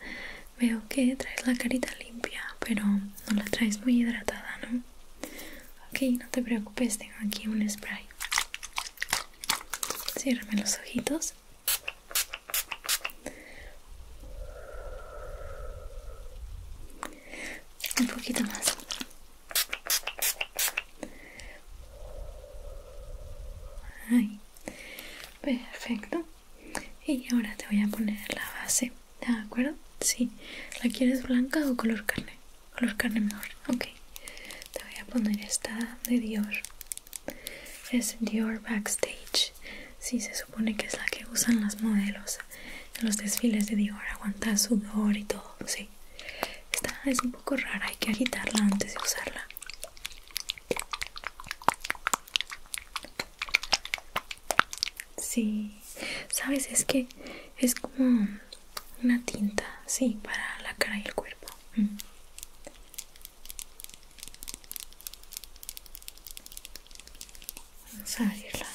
Speaker 1: veo que traes la carita limpia, pero no la traes muy hidratada, ¿no? Ok, no te preocupes, tengo aquí un spray. cierrame los ojitos. Un poquito más. Perfecto. Y ahora te voy a poner la base. ¿De acuerdo? Sí. ¿La quieres blanca o color carne? Color carne mejor. Ok. Te voy a poner esta de Dior. Es Dior Backstage. si se supone que es la que usan las modelos en los desfiles de Dior, aguanta sudor y todo, sí. Esta es un poco rara, hay que agitarla antes de usarla. Sí, sabes, es que es como una tinta, sí, para la cara y el cuerpo. Mm. Vamos a abrirla.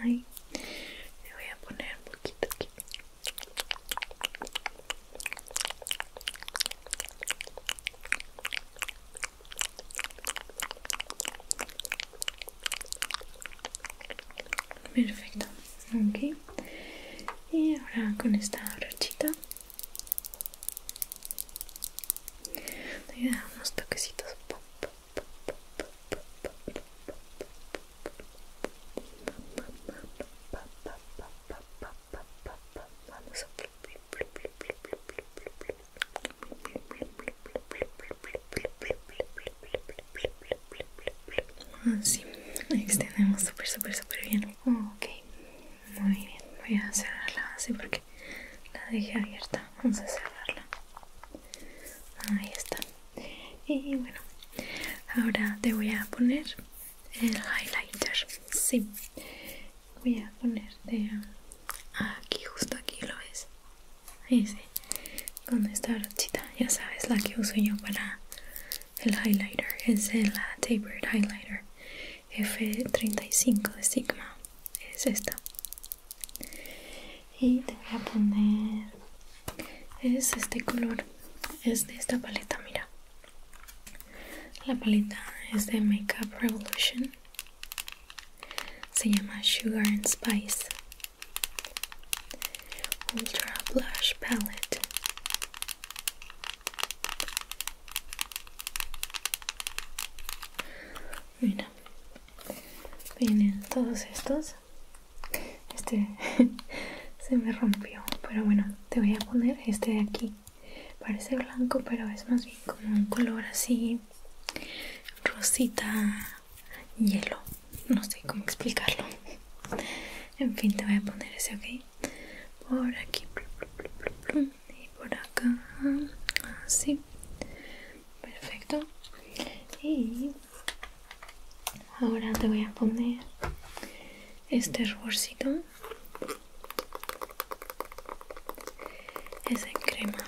Speaker 1: Ahí. Le voy a poner un poquito aquí. Perfecto, ok. Y ahora con esta brochita Voy a unos toquecitos. extendemos súper, súper, súper bien. Ok, muy bien, voy a cerrarla así porque la dejé abierta. Vamos a cerrarla. Ahí está. Y bueno, ahora te voy a poner el highlighter. Sí, voy a ponerte aquí, justo aquí, ¿lo ves? Ahí sí, con esta brochita, ya sabes, la que uso yo para el highlighter es el Tapered Highlighter F35 de Sigma. Es esta. Y te voy a poner. Es este color. Es de esta paleta, mira. La paleta es de Makeup Revolution. Se llama Sugar and Spice. Ultra Blush Palette. Mira, vienen todos estos. Este se me rompió, pero bueno, te voy a poner este de aquí. Parece blanco, pero es más bien como un color así rosita hielo. No sé cómo explicarlo. En fin, te voy a poner ese, ¿ok? por aquí y por acá así perfecto y ahora te voy a poner este ruborcito es el crema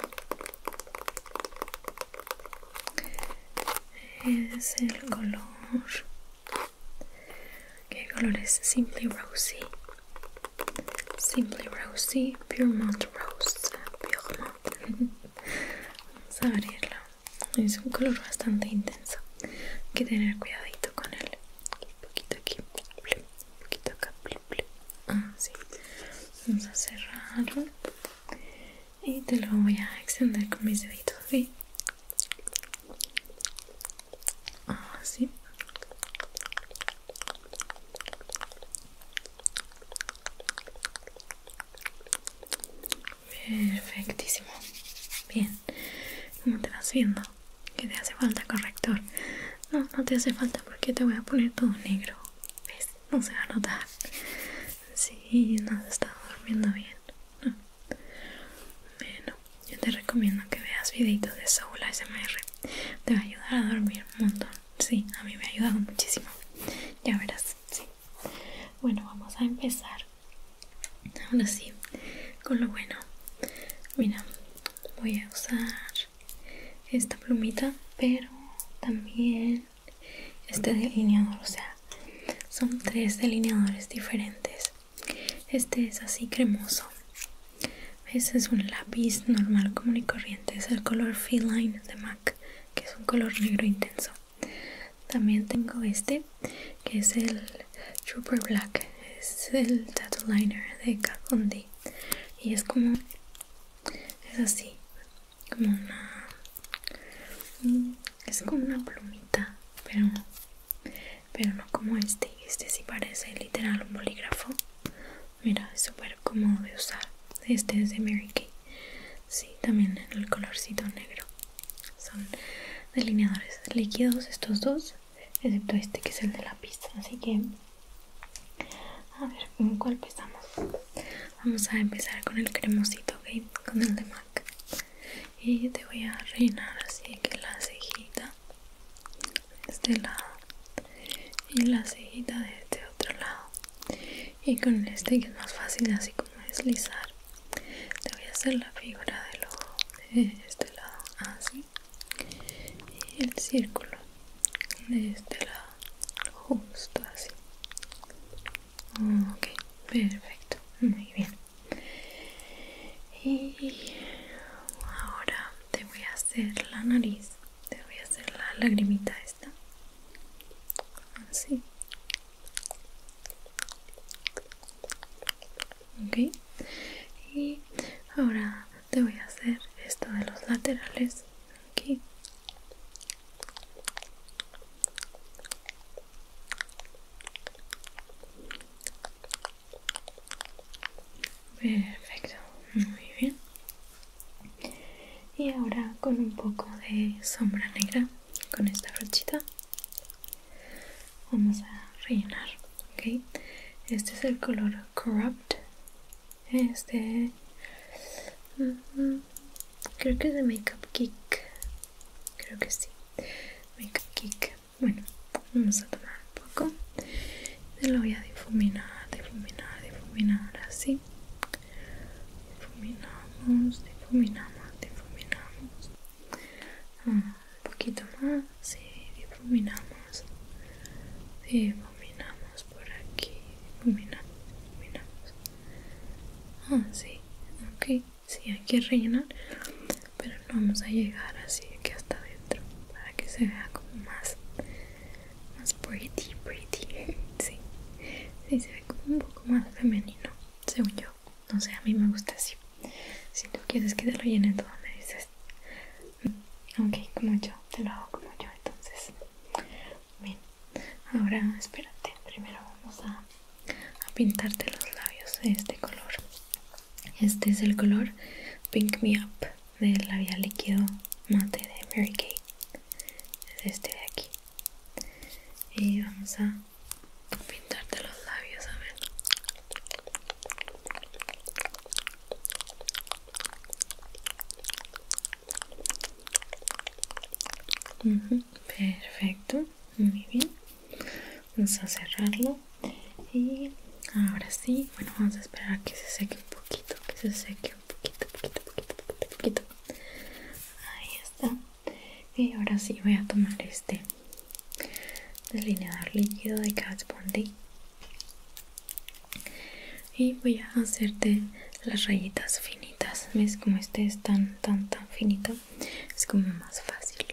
Speaker 1: es el color ¿Qué color es? Simply Rosy. Simply Rosy. Puremont Rose. Puremont. Vamos a abrirlo. Es un color bastante intenso. Hay que tener cuidadito con él. Un poquito aquí. Un poquito acá. Ah, Vamos a cerrarlo. Y te lo voy a extender con mis deditos. ¿sí? Ah, sí, perfectísimo bien ¿cómo te vas viendo? que te hace falta corrector no, no te hace falta porque te voy a poner todo negro ¿ves? no se va a notar si sí, no has durmiendo bien yo te recomiendo que veas videitos de Soul ASMR Te va a ayudar a dormir un montón Sí, a mí me ha ayudado muchísimo Ya verás, sí Bueno, vamos a empezar Ahora sí, con lo bueno Mira, voy a usar esta plumita Pero también este delineador O sea, son tres delineadores diferentes este es así cremoso. Este es un lápiz normal, común y corriente. Es el color Feline de MAC, que es un color negro intenso. También tengo este, que es el Trooper Black. Es el Tattoo Liner de Kat Von D. Y es como... Es así. Como una... Es como una plumita, pero pero no como este este sí parece literal un bolígrafo mira es súper cómodo de usar este es de Mary Kay sí también en el colorcito negro son delineadores líquidos estos dos excepto este que es el de lápiz así que a ver con cuál empezamos vamos a empezar con el cremosito con el de MAC y te voy a rellenar así que la cejita de este lado y la cejita de este otro lado y con este que es más fácil así como deslizar te voy a hacer la figura del ojo de este lado así y el círculo de este lado justo así ok perfecto muy bien y ahora te voy a hacer la nariz te voy a hacer la lagrimita esta así ok y ahora te voy a hacer esto de los laterales aquí Perfecto, muy bien. Y ahora con un poco de sombra negra, con esta brochita, vamos a rellenar, ¿ok? Este es el color Corrupt. Este... Creo que es de Makeup Geek. Creo que sí. Makeup Geek. Bueno, vamos a tomar un poco. Se lo voy a difuminar, difuminar, difuminar así. Difuminamos, difuminamos, difuminamos. Ah, un poquito más, sí, difuminamos. Difuminamos por aquí, difuminamos, difuminamos. Ah, sí, ok, sí, hay que rellenar pero no vamos a llegar así que hasta adentro para que se vea como más más pretty pretty sí se ve como un poco más femenino según yo no sé a mí me gusta así si tú quieres que te lo llene todo me dices ok como yo te lo hago como yo entonces bien ahora espérate primero vamos a pintarte los labios de este color este es el color Pink Me Up del labial líquido mate de Mary Kay. este de aquí. Y vamos a pintarte los labios, a ver. Perfecto, muy bien. Vamos a cerrarlo y ahora sí bueno vamos a esperar a que se seque un poquito que se seque un poquito poquito poquito poquito, poquito. ahí está y ahora sí voy a tomar este delineador líquido de Kat Von y voy a hacerte las rayitas finitas ves como este es tan tan tan finito es como más fácil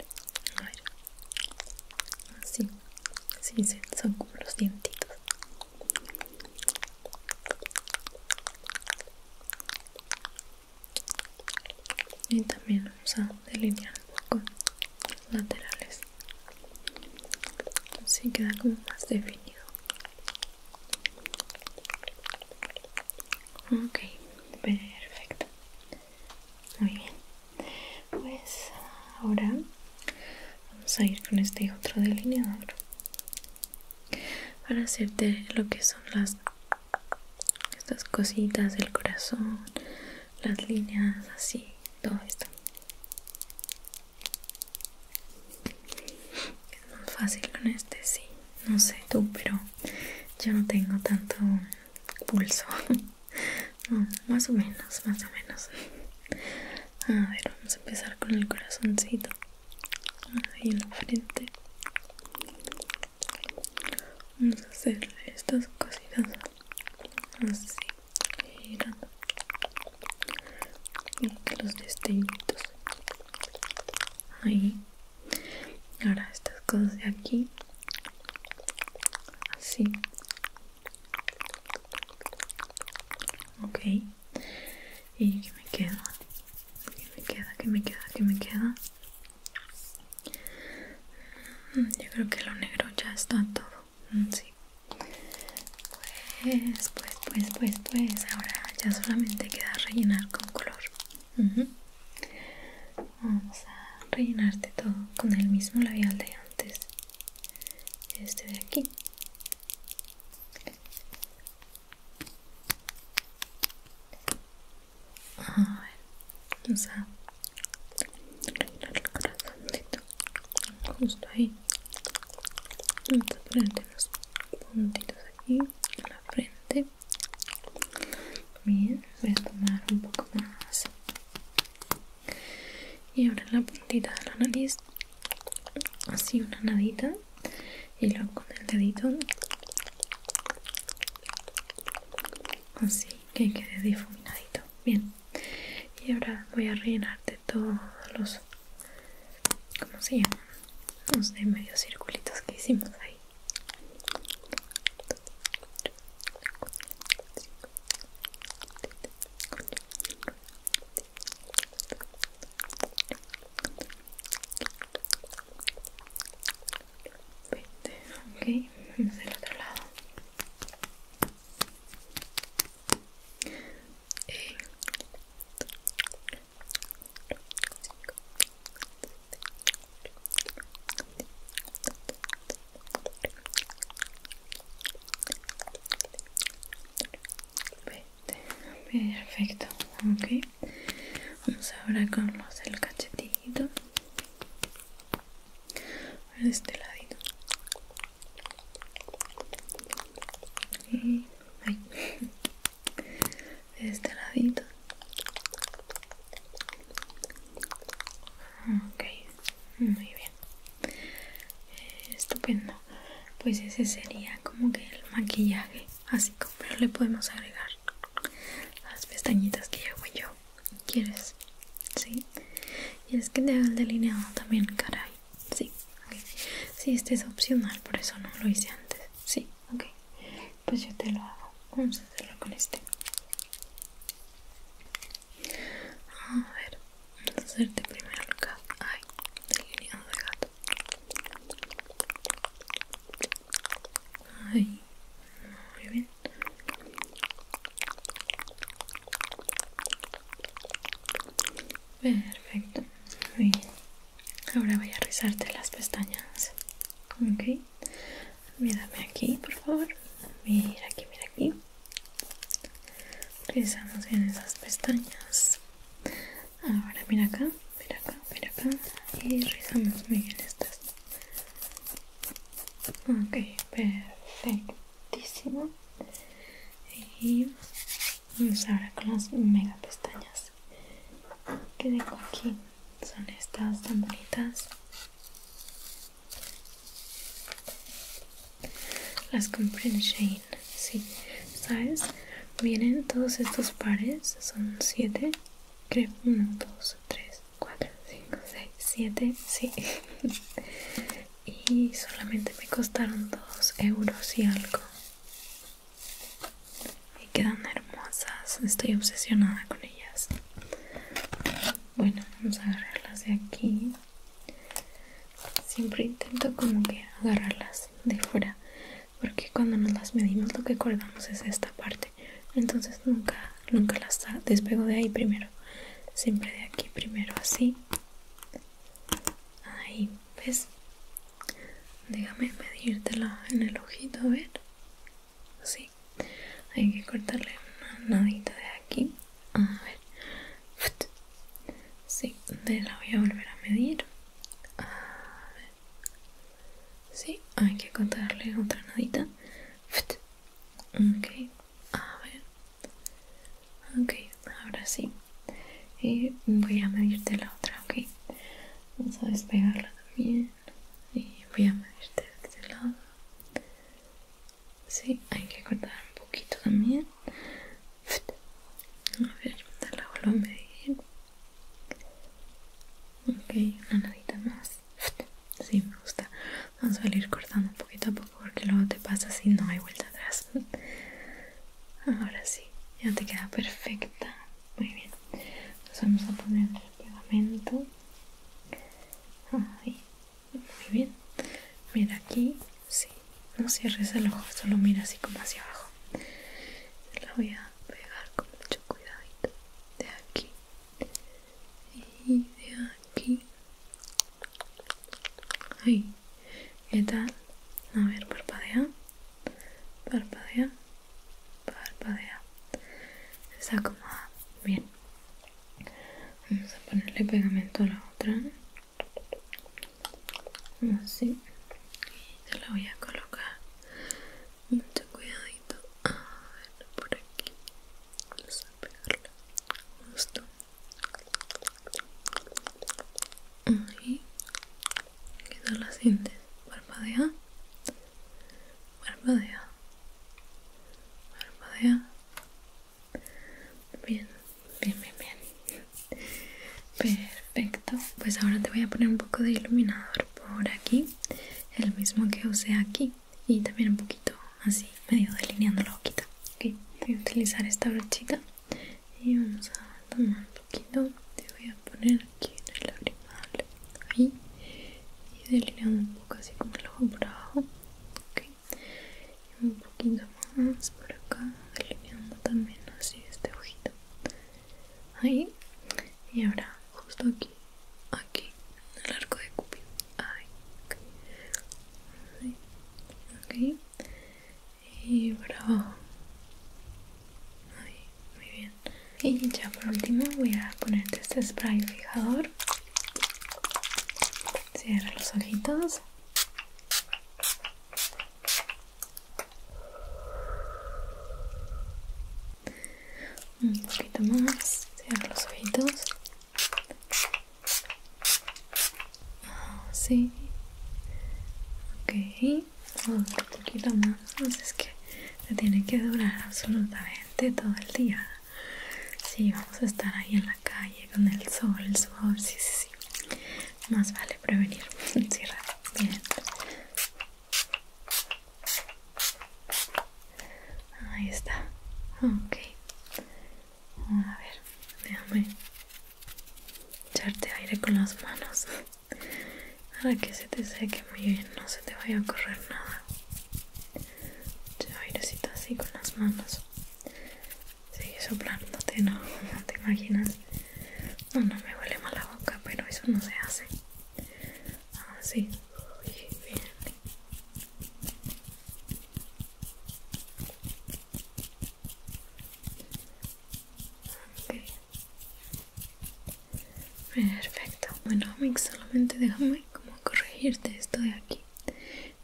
Speaker 1: a ver Así, sí, son como los dientitos. Y también vamos a delinear un poco los laterales. Así queda como más definido. Ok, perfecto. Muy bien pues ahora vamos a ir con este otro delineador para hacerte lo que son las estas cositas del corazón las líneas así todo esto es más fácil con este sí no sé tú pero yo no tengo tanto pulso más o menos, más o menos. A ver, vamos a empezar con el corazoncito. Ahí en la frente. Vamos a hacer estas cositas así, girando. Y los destellitos. Ahí. Ahora estas cosas de aquí. Así ok y que me queda que me queda que me queda que me queda mm, yo creo que lo negro ya está todo mm, pues pues pues pues pues ahora ya solamente queda rellenar con color vamos a rellenarte todo con el mismo labial de antes este de aquí a ver vamos a arreglar el corazón justo ahí vamos a ponerte unos puntitos aquí en la frente bien voy a tomar un poco más y ahora en la puntita de la nariz así una nadita y luego con el dedito así que quede difuminadito bien y ahora voy a rellenar de todos los ¿cómo se llaman? los de medio circulitos que hicimos ahí 20, ok, del otro lado eh. Perfecto, okay, Vamos ahora con los el cachetito. De este ladito. de este ladito. okay, muy bien. Eh, estupendo pues ese sería como que el maquillaje así como pero le podemos agregar las pestañitas que llevo yo quieres sí y es que te hago el delineado también caray sí sí este es opcional por eso no lo hice antes sí ok pues yo te lo hago vamos a hacerlo con este a ver Vamos a hacerte primero el cat Ay, el de gato Ahí, muy bien Perfecto, muy bien Ahora voy a rizarte las pestañas Ok Mírame aquí, por favor Mira aquí, mira aquí rizamos bien esas pestañas. Ahora mira acá, mira acá, mira acá. Y rizamos muy bien estas. Ok, perfectísimo. Y vamos ahora con las mega pestañas que tengo aquí. Son estas tan bonitas. Las compré en Shane, sí. ¿Sabes? Vienen todos estos pares, son 7, creo, 1, 2, 3, 4, 5, 6, 7, sí. y solamente me costaron 2 euros y algo. Y quedan hermosas, estoy obsesionada con ellas. Bueno, vamos a agarrarlas de aquí. Siempre intento como que agarrarlas de fuera porque cuando nos las medimos lo que cortamos es esta parte. Entonces nunca, nunca las despego de ahí primero. Siempre de aquí primero así. Ahí, ¿ves? Déjame medírtela en el ojito, a ver. Así. Hay que cortarle una nadita de aquí a ver sí, de la voy a volver a medir a ver sí, hay que contarle otra nadita ok, a ver ok, ahora sí y voy a medirte la otra, ok vamos a despegarla también y voy a medirte de este lado Sí, hay que cortar un poquito también. A ver, te la vuelvo a medir. Ok, una nadita más. Sí, me gusta. Vamos a ir cortando un poquito a poco porque luego te pasa si no hay vuelta atrás. Ahora sí, ya te queda perfecta. Muy bien. Entonces vamos a poner el pegamento. Muy bien. Mira aquí, sí. No cierres el ojo, solo mira así como hacia abajo. la voy a pegar con mucho cuidadito. De aquí. Y de aquí. Ahí. ¿Qué tal? A ver, parpadea. Parpadea. Parpadea. está acomoda. Bien. Vamos a ponerle pegamento a la otra así y se la voy a colocar mucho cuidadito a ver por aquí vamos a pegarla justo ahí queda la sientes parpadea parpadea parpadea Bien, bien, bien, bien. Perfecto. Pues ahora te voy a poner un poco de iluminador por aquí. El mismo que usé aquí. Y también un poquito así, medio delineando la boquita. Ok, voy a utilizar esta brochita. Y vamos a tomar un poquito. Te voy a poner aquí en el labial. Ahí. Y delineando un poco así como el ojo por abajo y un poquito más por acá delineando también así este ojito ahí y ahora justo aquí aquí en el arco de cupido ahí ok ok y bravo ahí muy bien y ya por último voy a poner este spray fijador cierra los ojitos un poquito más, cierra los ojitos. Ah, sí, Ok, un poquito más. Pues es que se tiene que durar absolutamente todo el día. Sí, vamos a estar ahí en la calle con el sol, el sí, sí, sí. Más vale prevenir. Cierra. Bien. Ahí está. Ok. A ver, déjame echarte aire con las manos. Para que se te seque muy bien, no se te vaya a correr nada. Te airecito así con las manos. Sigue soplándote, no, no te imaginas. No, no me huele mal la boca, pero eso no se hace. Así, ah, uy, Perfecto. Bueno, Mix, solamente déjame como corregirte esto de aquí.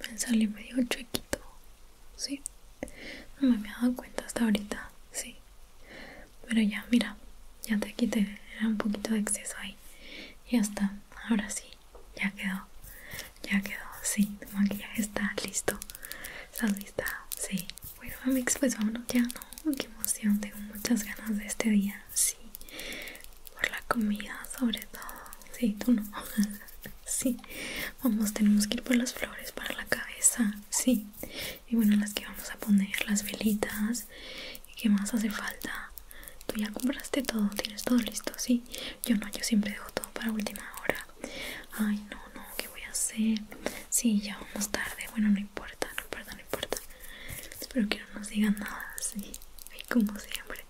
Speaker 1: Me sale medio chuequito. Sí, no me había dado cuenta hasta ahorita, sí. Pero ya, mira, ya te quité, era un poquito de exceso ahí. Ya está, ahora sí, ya quedó, ya quedó, sí, tu maquillaje está listo. ¿Estás lista? Sí. Bueno, pues vámonos ya, ¿no? Qué emoción, tengo muchas ganas de este día, sí. Por la comida, sobre todo. Sí, tú no. sí. Vamos, tenemos que ir por las flores para la cabeza, sí. Y bueno, las que vamos a poner, las velitas. ¿Y qué más hace falta? Tú ya compraste todo, tienes todo listo, sí. Yo no, yo siempre dejo todo para última hora. Ay, no, no, ¿qué voy a hacer? Sí, ya vamos tarde. Bueno, no importa, no importa, no importa. Espero que no nos digan nada, sí. Ay, como siempre.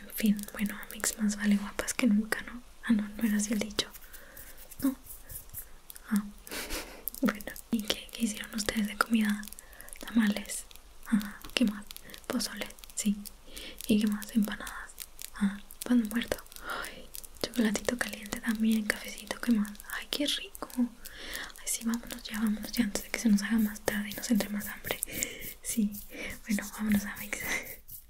Speaker 1: En fin, bueno, mix más vale guapas que nunca, ¿no? Ah, no, no era así el dicho. No. Ah, bueno. ¿Y qué, qué hicieron ustedes de comida? Tamales. Ah, ¿qué más? Pozole, sí. ¿Y qué más? Empanadas. Ah, pan muerto. chocolatito caliente también, cafecito, ¿qué más? Ay, qué rico. Ay, sí, vámonos ya, vámonos ya antes de que se nos haga más tarde y nos entre más hambre. Sí, bueno, vámonos a